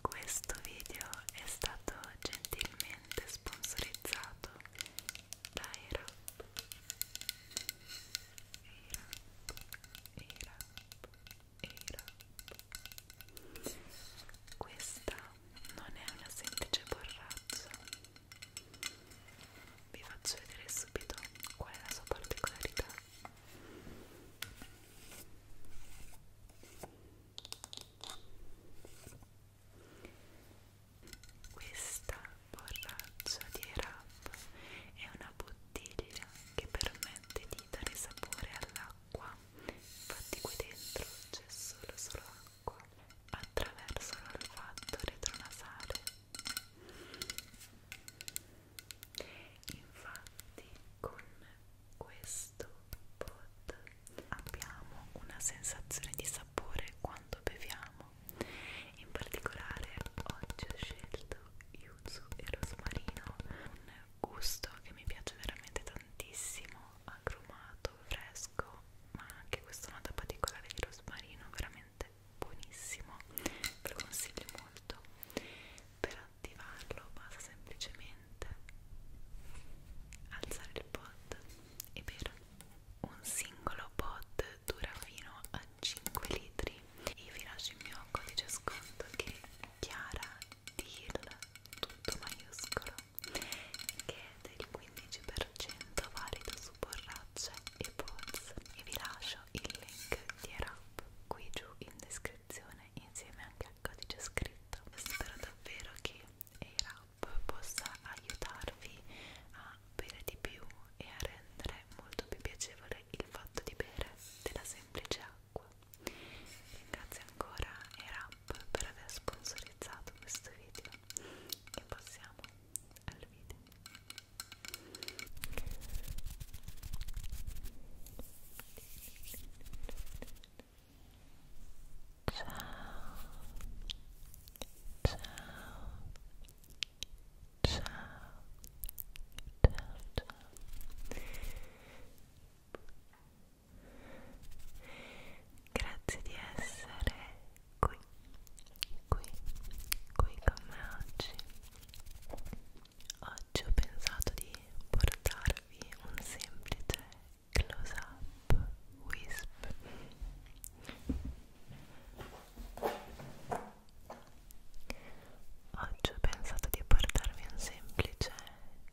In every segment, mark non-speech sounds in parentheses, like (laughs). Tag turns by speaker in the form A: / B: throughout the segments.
A: Questo video è stato gentilmente sponsorizzato da Erap. Erap, Erap, Erap. Questa non è una semplice borraccia. Vi faccio vedere subito qual è la sua particolarità. Questa borraccia di Erap è una bottiglia che permette di dare sapore all'acqua, infatti qui dentro c'è solo solo acqua. Attraverso l'olfatto retronasale Infatti con questo pot abbiamo una sensazione di sapore quando beviamo. In particolare oggi ho scelto yuzu e rosmarino, un gusto che mi piace veramente tantissimo, agrumato, fresco, ma anche questa nota particolare di rosmarino veramente veramente buonissimo ve lo consiglio molto per attivarlo basta semplicemente alzare il pod e bere un singolo pod dura fino a 5 litri e vi lascio il mio codice sconto che è Chiara Deal tutto maiuscolo che è del 15% valido su borracce e pods e vi lascio il link dietro shop qui giù in descrizione insieme anche al codice scritto spero davvero che il rap possa aiutarvi a bere di più e a rendere molto più piacevole il fatto di bere della semplice acqua ringrazio ancora Erap per aver sponsorizzato questo video e passiamo al video Grazie di essere qui, qui, qui con me oggi oggi ho pensato di portarvi un semplice close up wisp oggi ho pensato di portarvi un semplice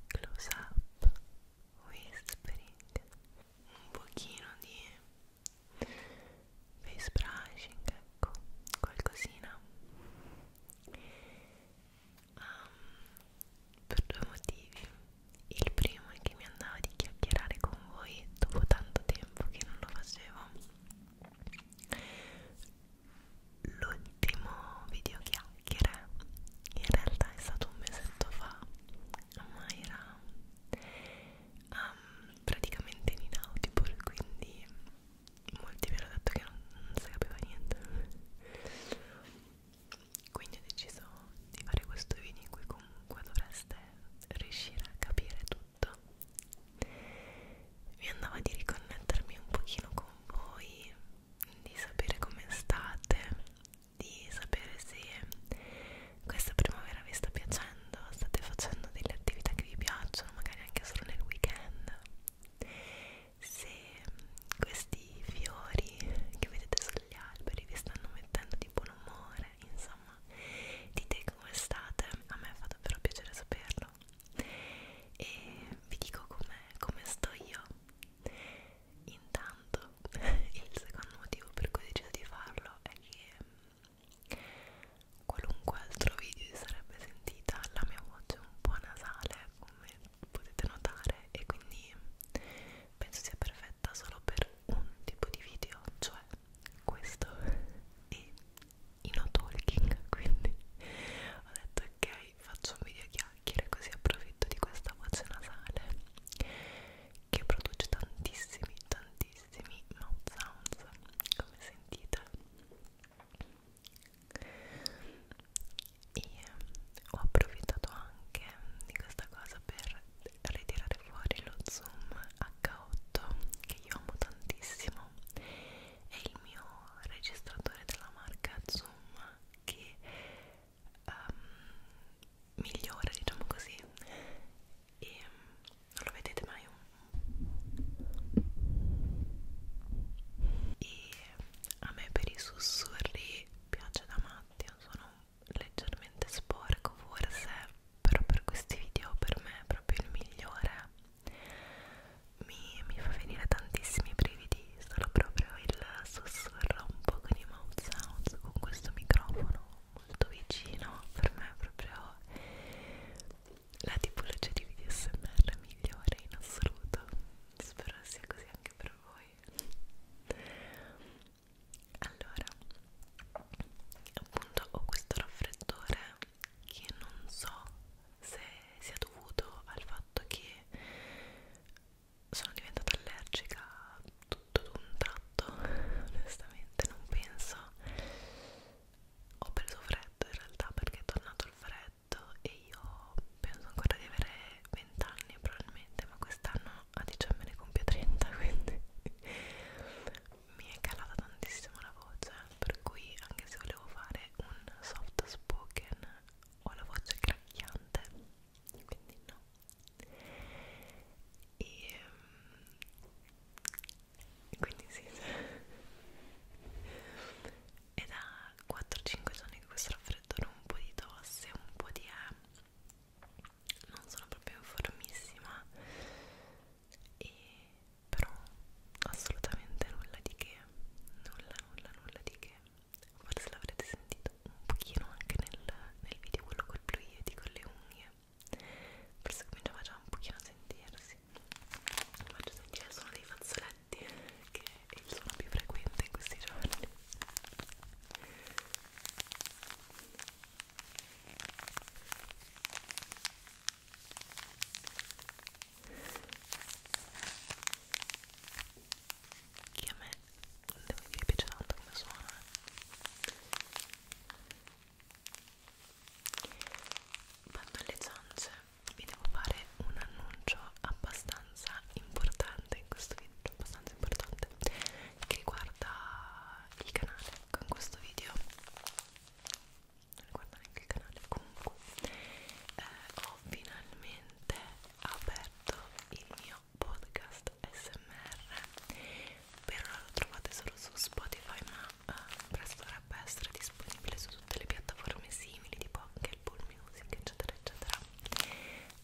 A: close up whispering un pochino di face brushing ecco qualcosina um, per due motivi il primo è che mi andava di chiacchierare con voi dopo tanto tempo che non lo facevo l'ultimo video chiacchiere in realtà è stato un mesetto fa ma era um, praticamente in inaudible quindi molti mi hanno detto che non, non si capiva niente quindi ho deciso di fare questo video in cui comunque dovreste riuscire a capire tutto mi andava di riconnettermi un pochino con voi di sapere come state di sapere se questa primavera vi sta piacendo state facendo delle attività che vi piacciono magari anche solo nel weekend se questi fiori che vedete sugli alberi vi stanno mettendo di buon umore, insomma, dite come state, a me fa davvero piacere saperlo e vi dico com come sto io. Intanto, (laughs) il secondo motivo per cui ho deciso di farlo è che qualunque altro video si sarebbe sentita la mia voce un po' nasale come potete notare e quindi penso sia perfetta solo per un tipo di video cioè questo e i no talking (laughs) quindi ho detto ok faccio un video chiacchiere così approfitto di questa voce nasale che produce tantissimi tantissimi mouth sounds come sentite e ho approfittato anche di questa cosa per ritirare fuori lo zoom H8 che io amo tantissimo è il mio registratore della marca zoom che um, ehm, migliora diciamo così e non lo vedete mai un e a me per i sussurri piace da matti sono leggermente sporco forse però per questi video per me è proprio il migliore mi, mi fa venire tantissimi brividi solo proprio il sussurro un po' con i mouth sounds con questo microfono molto vicino per me è proprio la tipologia di video smr migliore in assoluto spero sia così anche per voi allora appunto ho questo raffreddore che non so se sia dovuto al fatto che sono diventata allergica tutto d'un tratto onestamente non penso ho preso freddo in realtà perché è tornato il freddo letto e io penso ancora di avere 20 anni probabilmente, ma quest'anno a dicembre ne compio 30, (laughs) quindi mi è calata tantissimo la voce, per cui anche se volevo fare un soft spoken ho la voce cracchiante, quindi no. E mm, quindi sì è da 4-5 giorni che questo raffreddore un po' di tosse, un po' di eh, non sono proprio in formissima e però assolutamente nulla di che nulla nulla nulla di che forse l'avrete sentito un pochino anche nel, nel video quello col bluieti con le unghie forse cominciava già un pochino a sentirsi vi faccio sentire il suono dei fazzoletti che è il suono più frequente in questi giorni che a me devo dire piace tanto come suona eh. vado alle zanze vi devo fare un annuncio abbastanza importante in questo video, abbastanza importante, che riguarda il canale. Con questo video, non riguarda neanche il canale, comunque, eh, ho finalmente aperto il mio podcast SMR. Per ora lo trovate solo su Spotify, ma eh, presto avrà dovrebbe essere disponibile su tutte le piattaforme simili tipo anche il Bull Music eccetera eccetera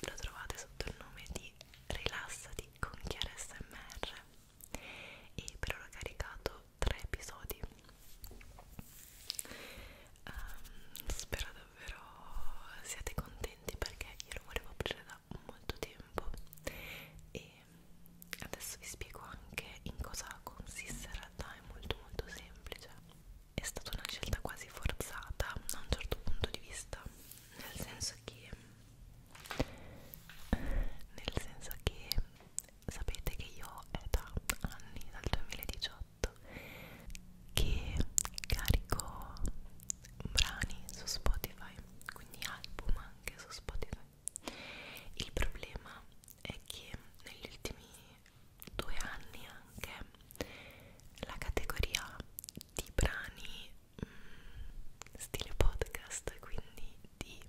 A: lo trovate sotto il nome di Rilassati con Chiara SMR e per ora ho caricato tre episodi um, spero davvero siate contenti perché io lo volevo aprire da molto tempo e adesso vi spiego anche in cosa consiste in realtà è molto molto semplice è stata una scelta quasi forzata da un certo punto di vista nel senso che nel senso che sapete che io è da anni dal 2018 che carico brani su Spotify quindi album anche su Spotify il problema è che negli ultimi due anni anche la categoria di brani mh, mm, stile podcast quindi di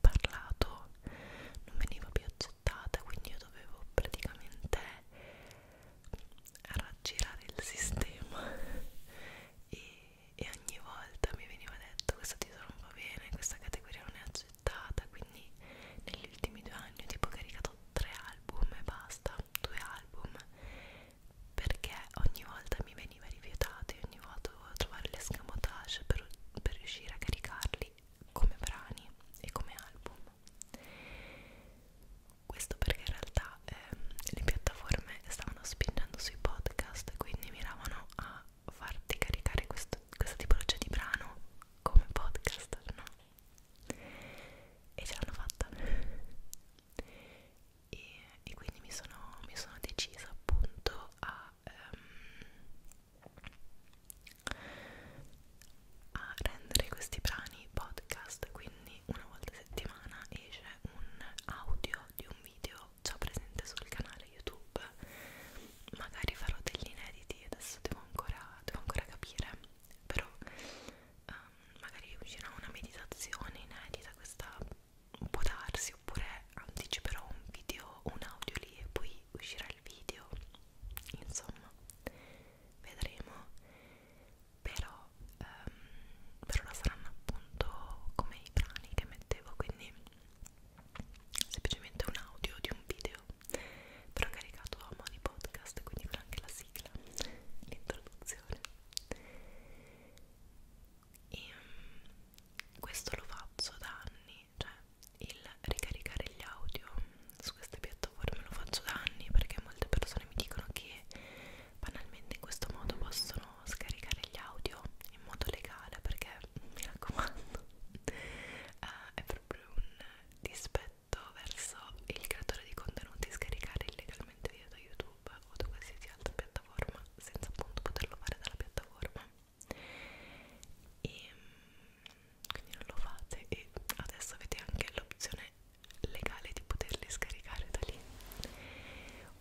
A: parlato non veniva più accettata quindi io dovevo praticamente raggirare il sistema (laughs) e, e ogni volta mi veniva detto questa ti non va bene questa categoria non è accettata progettata quindi negli ultimi due anni ho tipo caricato tre album e basta due album perché ogni volta mi veniva rifiutato e ogni volta dovevo trovare l'escamotage per, per riuscire a caricarli come brani e come album questo perché in realtà eh, le piattaforme stavano spingendo sui podcast quindi miravano a farti caricare questo, questa tipologia di brano come podcast no? e ce l'hanno fatta e, e quindi mi sono, mi sono decisa appunto a, um, a rendere questi brani podcast quindi una volta a settimana esce un audio di un video già presente sul canale youtube magari farò degli inediti adesso devo ancora, devo ancora capire però um, magari uscirà una meditazione inedita questa può darsi oppure anticiperò un video un audio lì e poi uscirà il video insomma vedremo però, um, ehm, però la saranno appunto come i brani che mettevo quindi semplicemente un audio di un video però ho caricato a modi podcast quindi con anche la sigla l'introduzione e um, questo lo faccio da anni cioè il ricaricare gli audio su queste piattaforme lo faccio da anni perché molte persone mi dicono che banalmente in questo modo possono scaricare gli audio in modo legale perché mi raccomando uh, (laughs) è proprio un dispetto diretto verso il creatore di contenuti scaricare illegalmente video da YouTube o da qualsiasi altra piattaforma senza appunto poterlo fare dalla piattaforma e quindi non lo fate e adesso avete anche l'opzione legale di poterli scaricare da lì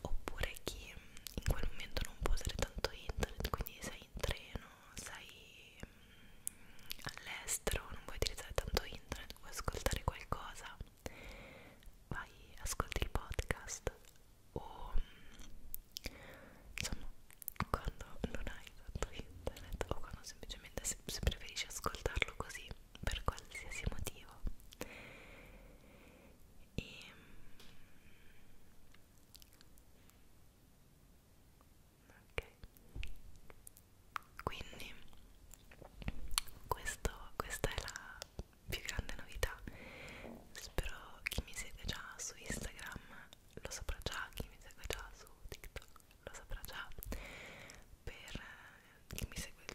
A: oppure chi in quel momento non può usare tanto internet quindi sei in treno sei all'estero, non vuoi utilizzare tanto internet, vuoi ascoltare qualcosa, vai, ascolti il podcast o insomma quando non hai tanto internet o quando semplicemente se, se preferisci ascoltarlo così per qualsiasi motivo e ehm, ok quindi questo, questa è la più grande novità spero chi mi segue già su Instagram lo saprà già chi mi segue già su TikTok lo saprà già per eh, chi mi segue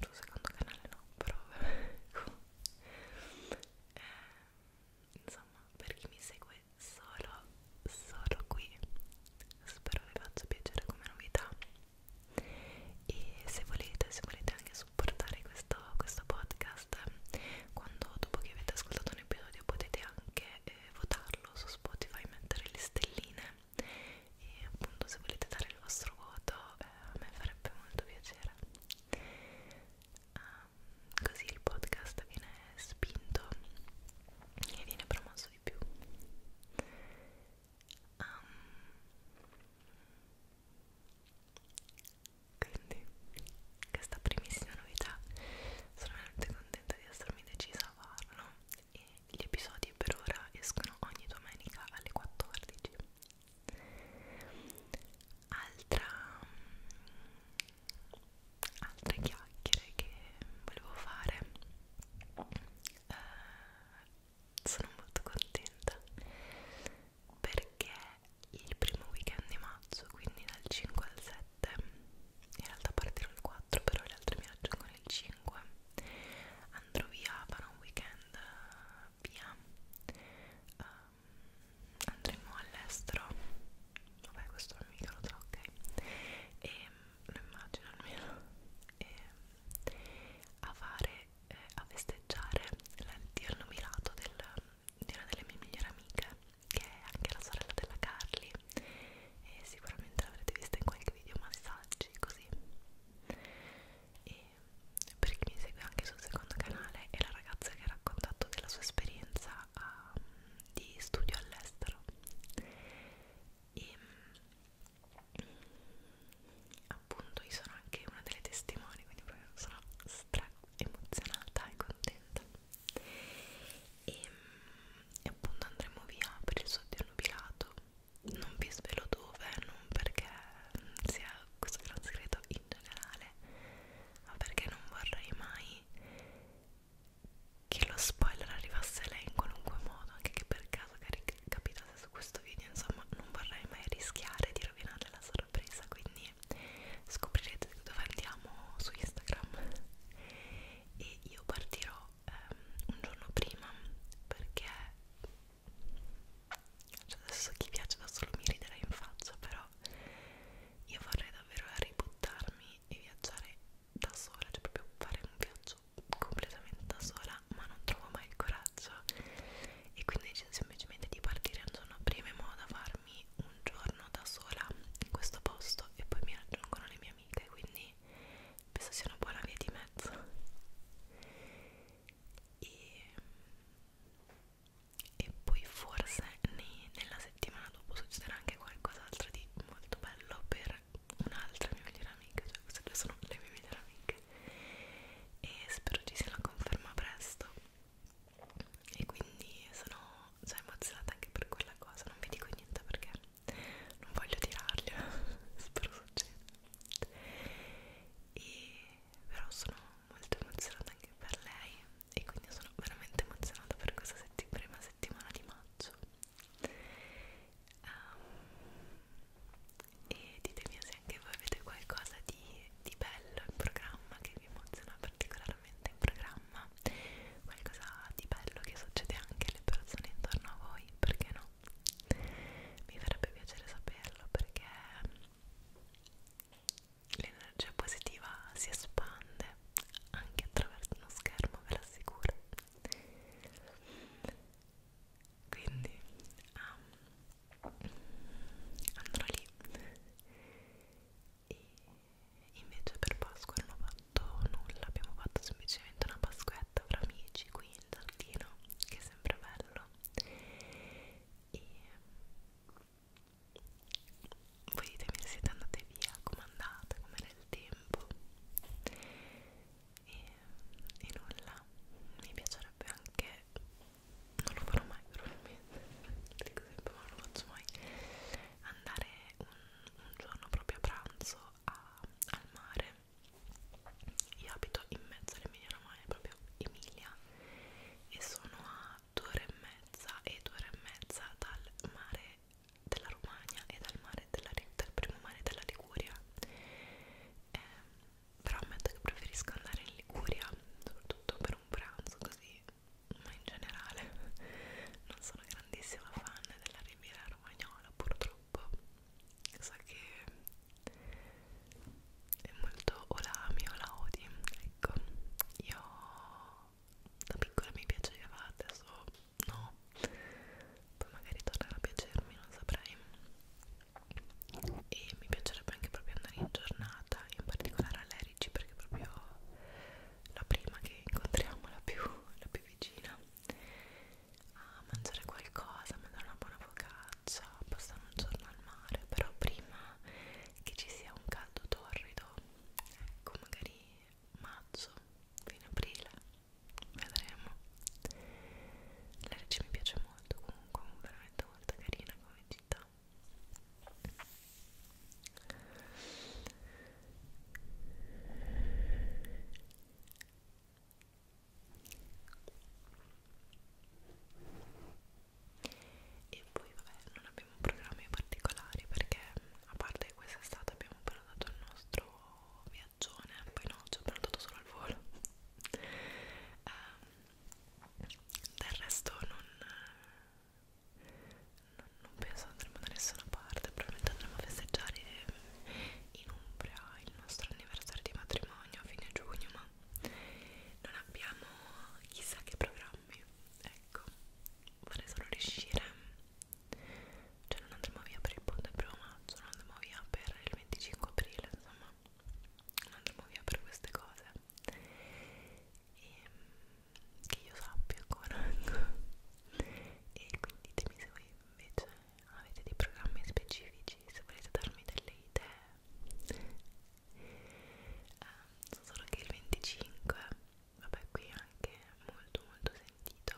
A: sul secondo canale no però (laughs) eh, insomma per chi mi segue due solo solo qui spero vi faccia piacere come novità e se volete se volete anche supportare questo, questo podcast quando dopo che avete ascoltato un episodio potete anche eh, votarlo su Spotify mettere le stelline e appunto se volete dare il vostro voto eh, a me farebbe molto piacere um, così il podcast viene spinto e viene promosso penso di più um, quindi questa primissima novità sono veramente contenta di essermi decisa a farlo e gli episodi per ora escono ogni domenica alle 14 altra altre chiacchiere che volevo fare eh, sono molto contenta perché il primo weekend di maggio quindi dal 5 al 7 in realtà partirò il 4 però le altre mi raggiungono il 5 andrò via farò un weekend eh, via um, andremo all'estero vabbè questo non mica lo so ok e ehm, lo immagino almeno, e a fare, eh, a festeggiare l'addio nominato di una delle mie migliori amiche, che è anche la sorella della Carly, e sicuramente l'avrete vista in qualche video massaggi così. E per chi mi segue anche sul secondo canale è la ragazza che ha raccontato della sua esperienza a, ah, di studio all'estero e appunto io sono anche una delle testimoni quindi proprio sono stra emozionata e contenta e, e appunto andremo via per il soggiorno pilato non vi svelo dove non perché sia questo gran segreto in generale ma perché non vorrei mai che lo spoiler arrivasse a lei in qualunque modo, anche che per caso capitasse su questo video, insomma non vorrei mai rischiare di rovinarle la sorpresa, quindi scoprirete dove andiamo su Instagram e io partirò ehm, un giorno prima perché cioè adesso chi piace da solo mi riderà in faccia, però io vorrei davvero ributtarmi e viaggiare da sola, cioè proprio fare un viaggio completamente da sola ma non trovo mai il coraggio e quindi decido semplicemente di partire un giorno prima in modo da farmi un giorno da sola in questo posto e poi mi raggiungono le mie amiche quindi penso sia una buona via di mezzo e, e poi forse nei, nella settimana dopo succederà anche qualcos'altro di molto bello per per un'altra mia migliore amica, cioè queste due sono le mie migliori amiche e spero ci sia la conferma presto e quindi sono già emozionata anche per quella cosa, non vi dico niente perché non voglio tirarla, (laughs) spero succeda e però sono molto emozionata anche per lei e quindi sono veramente emozionata per questa setti prima settimana di maggio um, e ditemi se anche voi avete qualcosa di, di bello in programma che vi emoziona particolarmente in programma qualcosa di bello che succede anche alle persone intorno a voi perché no? mi farebbe piacere saperlo perché l'energia positiva si espande anche attraverso uno schermo ve l'assicuro quindi um, andrò lì e invece per Pasqua non ho fatto nulla abbiamo fatto semplicemente una pasquetta fra amici qui in giardino che è sempre bello e voi ditemi se siete andate via, come andate, com'era il tempo e, e nulla mi piacerebbe anche non lo farò mai probabilmente dico sempre ma non lo faccio mai andare un, un giorno proprio a pranzo a, al mare io abito in mezzo all'Emilia Romagna proprio Emilia e sono a due ore e mezza e due ore e mezza dal mare della Romagna e dal, mare della, dal primo mare della Liguria eh, però ammetto che preferisco andare in Liguria soprattutto per un pranzo così ma in generale (laughs) non sono grandissima fan della riviera romagnola purtroppo so che è molto o la ami o la odi ecco io da piccola mi piaceva adesso no poi magari tornerà a piacermi non saprei e mi piacerebbe anche proprio andare in giornata in particolare a Lerici perché proprio la prima che incontriamo la più, la più vicina a mangiare qualcosa, mangiare una buona focaccia passare un giorno al mare però prima che ci sia un caldo torrido ecco magari maggio, fine aprile vedremo la legge mi piace molto comunque veramente molto carina come città e poi vabbè non abbiamo programmi particolari perché a parte quest'estate abbiamo prenotato il nostro viaggio viaggione poi no, ci ho prenotato solo al volo um, del resto non, non, non penso andremo da nessuna parte probabilmente andremo a festeggiare in Umbria il nostro anniversario di matrimonio a fine giugno ma non abbiamo chissà che programmi ecco vorrei solo riuscire cioè non andremo via per il ponte del primo maggio non andremo via per il 25 aprile insomma non andremo via per queste cose e, ehm, che io sappia ancora (laughs) e quindi ditemi se voi invece avete dei programmi specifici se volete darmi delle idee um, so solo che il 25 vabbè qui è anche molto molto sentito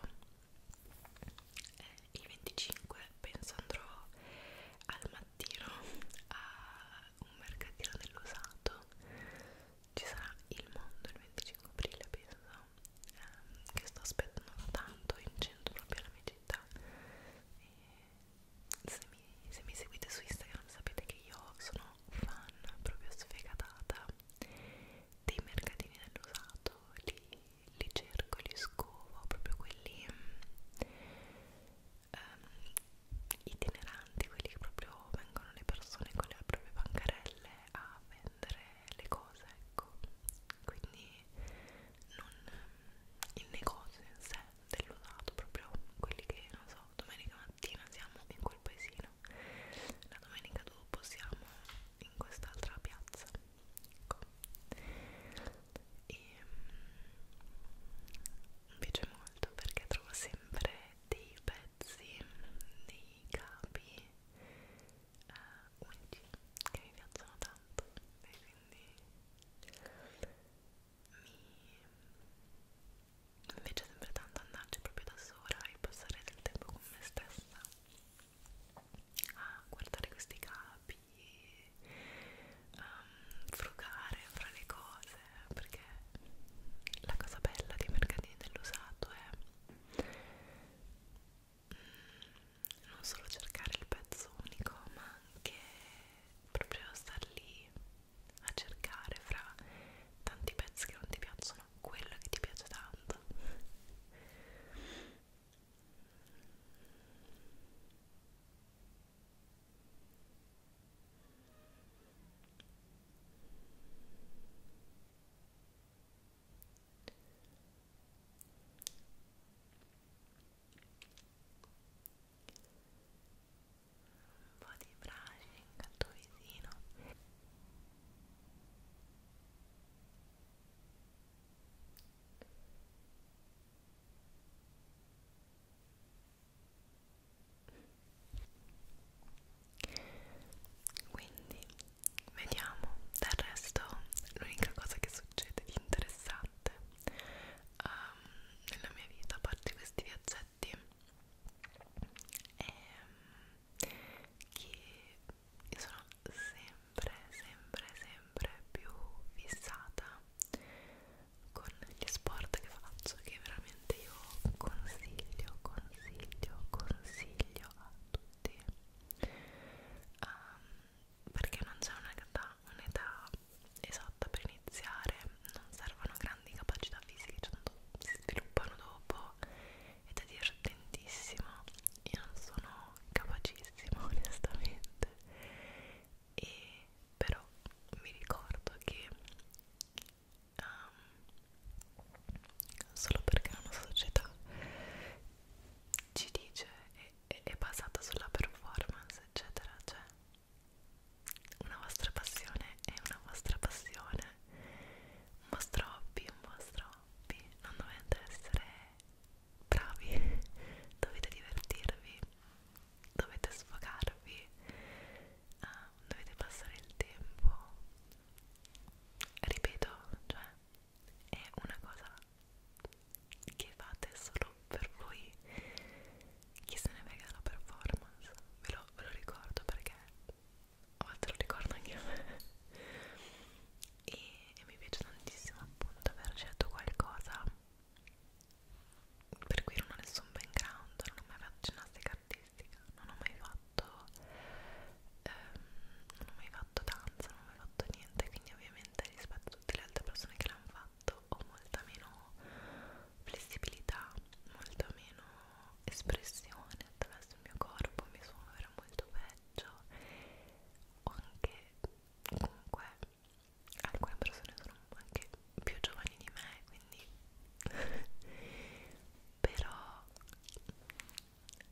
A: eh, il 25 penso andrò al mattino a un mercatino dell'usato ci sarà il mondo il 25 aprile penso ehm, che sto aspettando da tanto in centro proprio alla mia città e se, mi, se mi seguite su Instagram sapete che io sono fan proprio sfegatata dei mercatini dell'usato lì li cerco, li scovo, proprio quelli um, itineranti, quelli che proprio vengono le persone con le proprie bancarelle a vendere le cose, ecco. Quindi non il negozio in sé dell'usato, proprio quelli che, non so, domenica mattina siamo in quel paesino, la domenica dopo siamo in quest'altra piazza ecco e ehm, mi piace molto perché trovo sempre dei pezzi dei capi uh, unici che mi piacciono tanto e quindi mi mi piace sempre tanto andarci proprio da sola e passare del tempo con me stessa a guardare questi capi, um, frugare fra le cose, perché la cosa bella dei mercatini dell'usato è mm, non solo cercare il pezzo unico, ma anche proprio star lì a cercare fra tanti pezzi che non ti piacciono quello che ti piace tanto un po' di brushing al tuo visino quindi vediamo, del resto l'unica cosa che succede di interessante um, nella mia vita, a parte questi viaggetti, è ehm, che io sono sempre sempre, sempre, sempre più fissata con gli sport che faccio che veramente io consiglio, consiglio, consiglio a tutti um, perché non c'è un'età un esatta per iniziare non servono grandi capacità fisiche tanto si sviluppano dopo ed è divertentissimo io non sono capacissimo (laughs) onestamente e però mi ricordo che um, solo perché una società ci dice è, è basata sulla performance eccetera cioè una vostra passione è una vostra passione un vostro hobby un vostro hobby non dovete essere bravi, dovete divertirvi, dovete sfogarvi, uh, dovete passare il tempo. Ripeto, cioè, è una cosa che fate solo per voi. Chi se ne frega la performance? Ve lo, ve lo ricordo perché a volte lo ricordo anche a me e, e mi piace tantissimo appunto aver scelto qualcosa per cui non ho nessun background, non ho mai fatto ginnastica artistica, non ho mai fatto ehm, non ho mai fatto danza, non ho mai fatto niente, quindi ovviamente rispetto a tutte le altre persone che l'hanno fatto ho molta meno flessibilità, molto meno espressione attraverso il mio corpo, mi suono era molto peggio ho anche comunque alcune persone sono anche più giovani di me quindi (laughs) però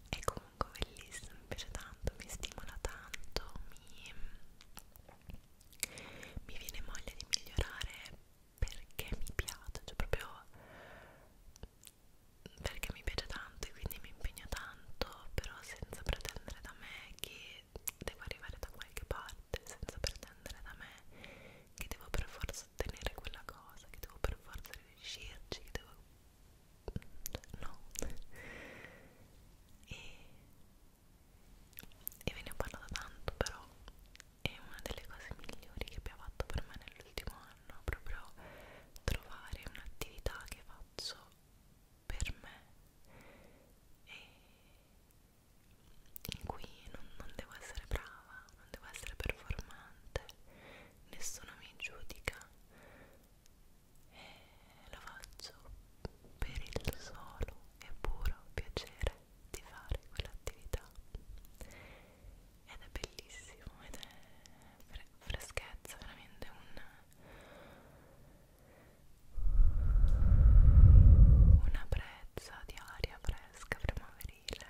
A: è comunque bellissimo mi piace tanto mi stimola tanto mi, mi viene voglia di migliorare perché mi piace cioè proprio perché mi piace tanto e quindi mi impegno tanto tanto però senza pretendere da me che devo arrivare da qualche parte senza pretendere da me che devo per forza ottenere quella cosa che devo per forza riuscirci che devo no e, e ve ne ho parlato tanto però è una delle cose migliori che abbia fatto per me nell'ultimo anno proprio trovare un'attività che faccio per me e in cui non, non devo essere brava, non devo essere performante, nessuno mi giudica e lo faccio per il solo e puro piacere di fare quell'attività ed è bellissimo ed è fre freschezza veramente un una brezza di aria fresca primaverile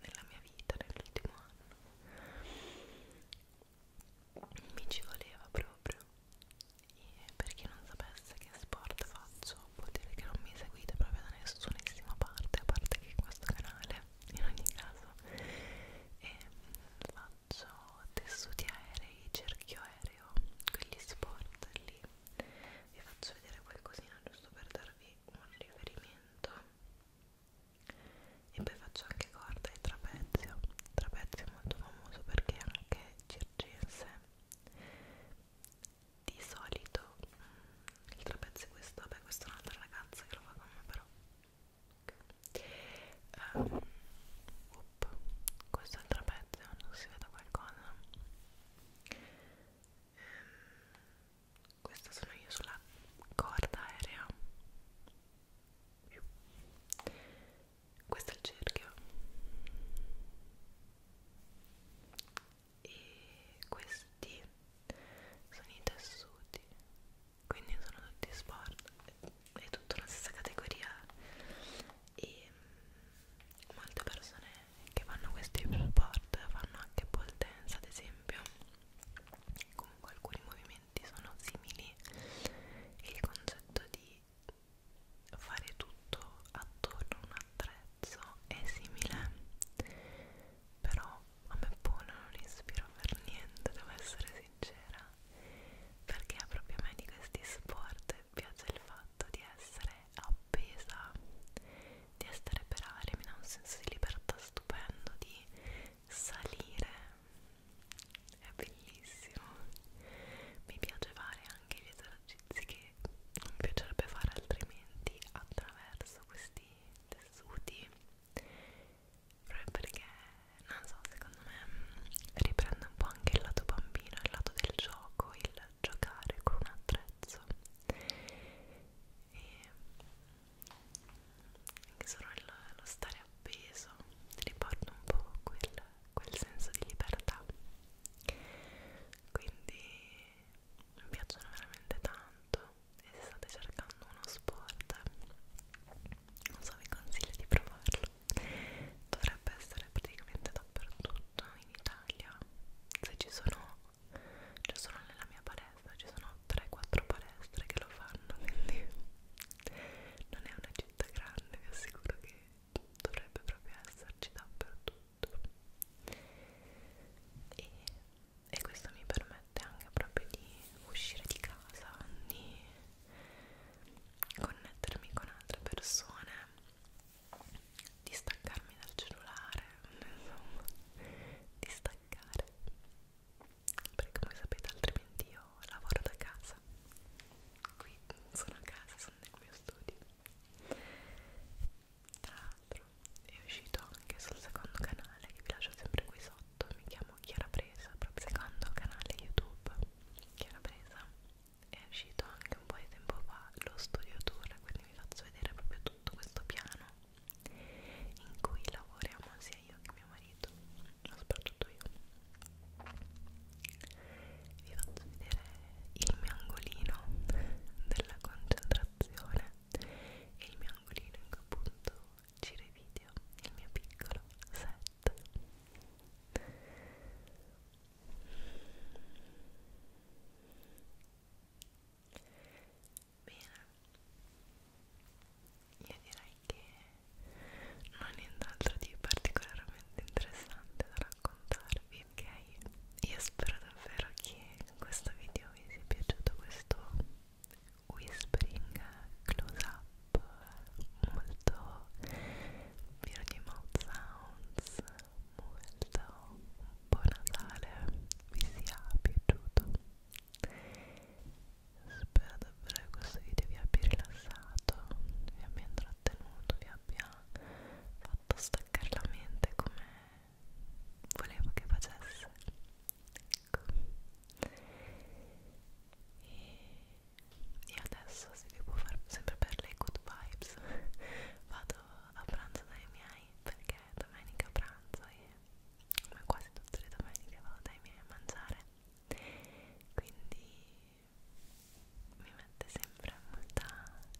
A: nella mia vita nell'ultimo anno mi ci voleva proprio e per chi non sapesse che sport faccio vuol dire che non mi seguite proprio da nessunissima parte a parte che in questo canale in ogni caso e faccio faccio tessuti aerei, cerchio aereo, quegli sport lì vi faccio vedere qualcosina giusto per darvi un riferimento e poi faccio anche corda e trapezio trapezio è molto famoso perché anche circense di solito mm, il trapezio è questo, beh questa è un'altra ragazza che lo fa con me però okay. um, quest'altra pezza non si vede qualcosa um, questa sono io sulla corda aerea questo è il cerchio e questi sono i tessuti quindi sono tutti sport è tutta la stessa categoria e mm, molte persone che fanno questi sport fanno anche pole dance ad esempio comunque alcuni movimenti sono simili e il concetto di fare tutto attorno a un attrezzo è simile però a me pole non ispira per niente devo essere sincera perché proprio a me di questi sport piace il fatto di essere appesa di essere per aria mi dà un senso di libertà stupendo di salire è bellissimo mi piace fare anche gli esercizi che mi piacerebbe fare altrimenti attraverso questi tessuti proprio perché non so, secondo me mm, riprende un po' anche il lato bambino, il lato del gioco, il giocare con un attrezzo e anche mm, solo il, lo stare appeso ti riporta un po' quel, quel senso di libertà quindi mi piacciono veramente tanto e se state cercando uno sport non so vi consiglio di provarlo dovrebbe essere praticamente dappertutto in Italia se ci sono ci sono nella mia palestra ci sono 3-4 palestre che lo fanno quindi non è una città grande vi assicuro che dovrebbe proprio esserci dappertutto e, e questo mi permette anche proprio di uscire di casa di connettermi con altre persone, distaccarmi dal cellulare, insomma, distaccare perché come sapete altrimenti io lavoro da casa qui sono a casa, sono nel mio studio tra l'altro è uscito anche sul secondo canale che vi lascio sempre qui sotto mi chiamo Chiara Presa, proprio secondo canale YouTube che era presa è uscito anche un po' di tempo fa lo studio tour quindi vi faccio vedere proprio tutto questo piano in cui lavoriamo sia io che mio marito ma soprattutto io vi faccio vedere il mio angolino della concentrazione e il mio angolino in cui appunto giro i video il mio piccolo set notte bene io direi che non ho nient'altro di particolarmente interessante da raccontarvi ok io spero davvero che questo video vi sia piaciuto questo whispering close up molto Virgin Mouth Sounds, molto un po' natale, vi sia piaciuto. Spero davvero che questo video vi abbia rilassato, vi abbia intrattenuto, vi abbia fatto staccare la mente come volevo che facesse. Ecco. E e adesso se vi può far sempre per le good vibes (laughs) vado a pranzo dai miei perché è domenica pranzo e come quasi tutte le domeniche vado dai miei a mangiare quindi mi mette sempre molta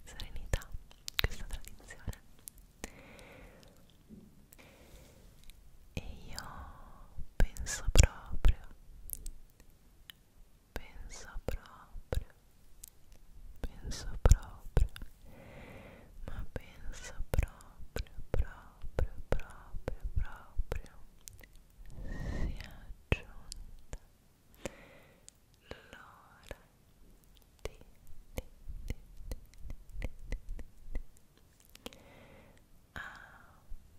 A: serenità questa tradizione e io penso proprio pensa proprio, pensa proprio, ma pensa proprio, proprio, proprio, proprio, si aggiunta l'ora ah,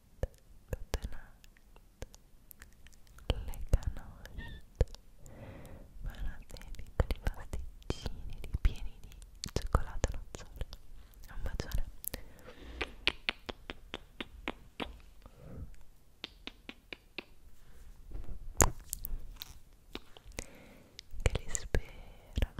A: good night le canoste vanno piccoli pasticcini ripieni di cioccolato nozzolo un bacione che li spera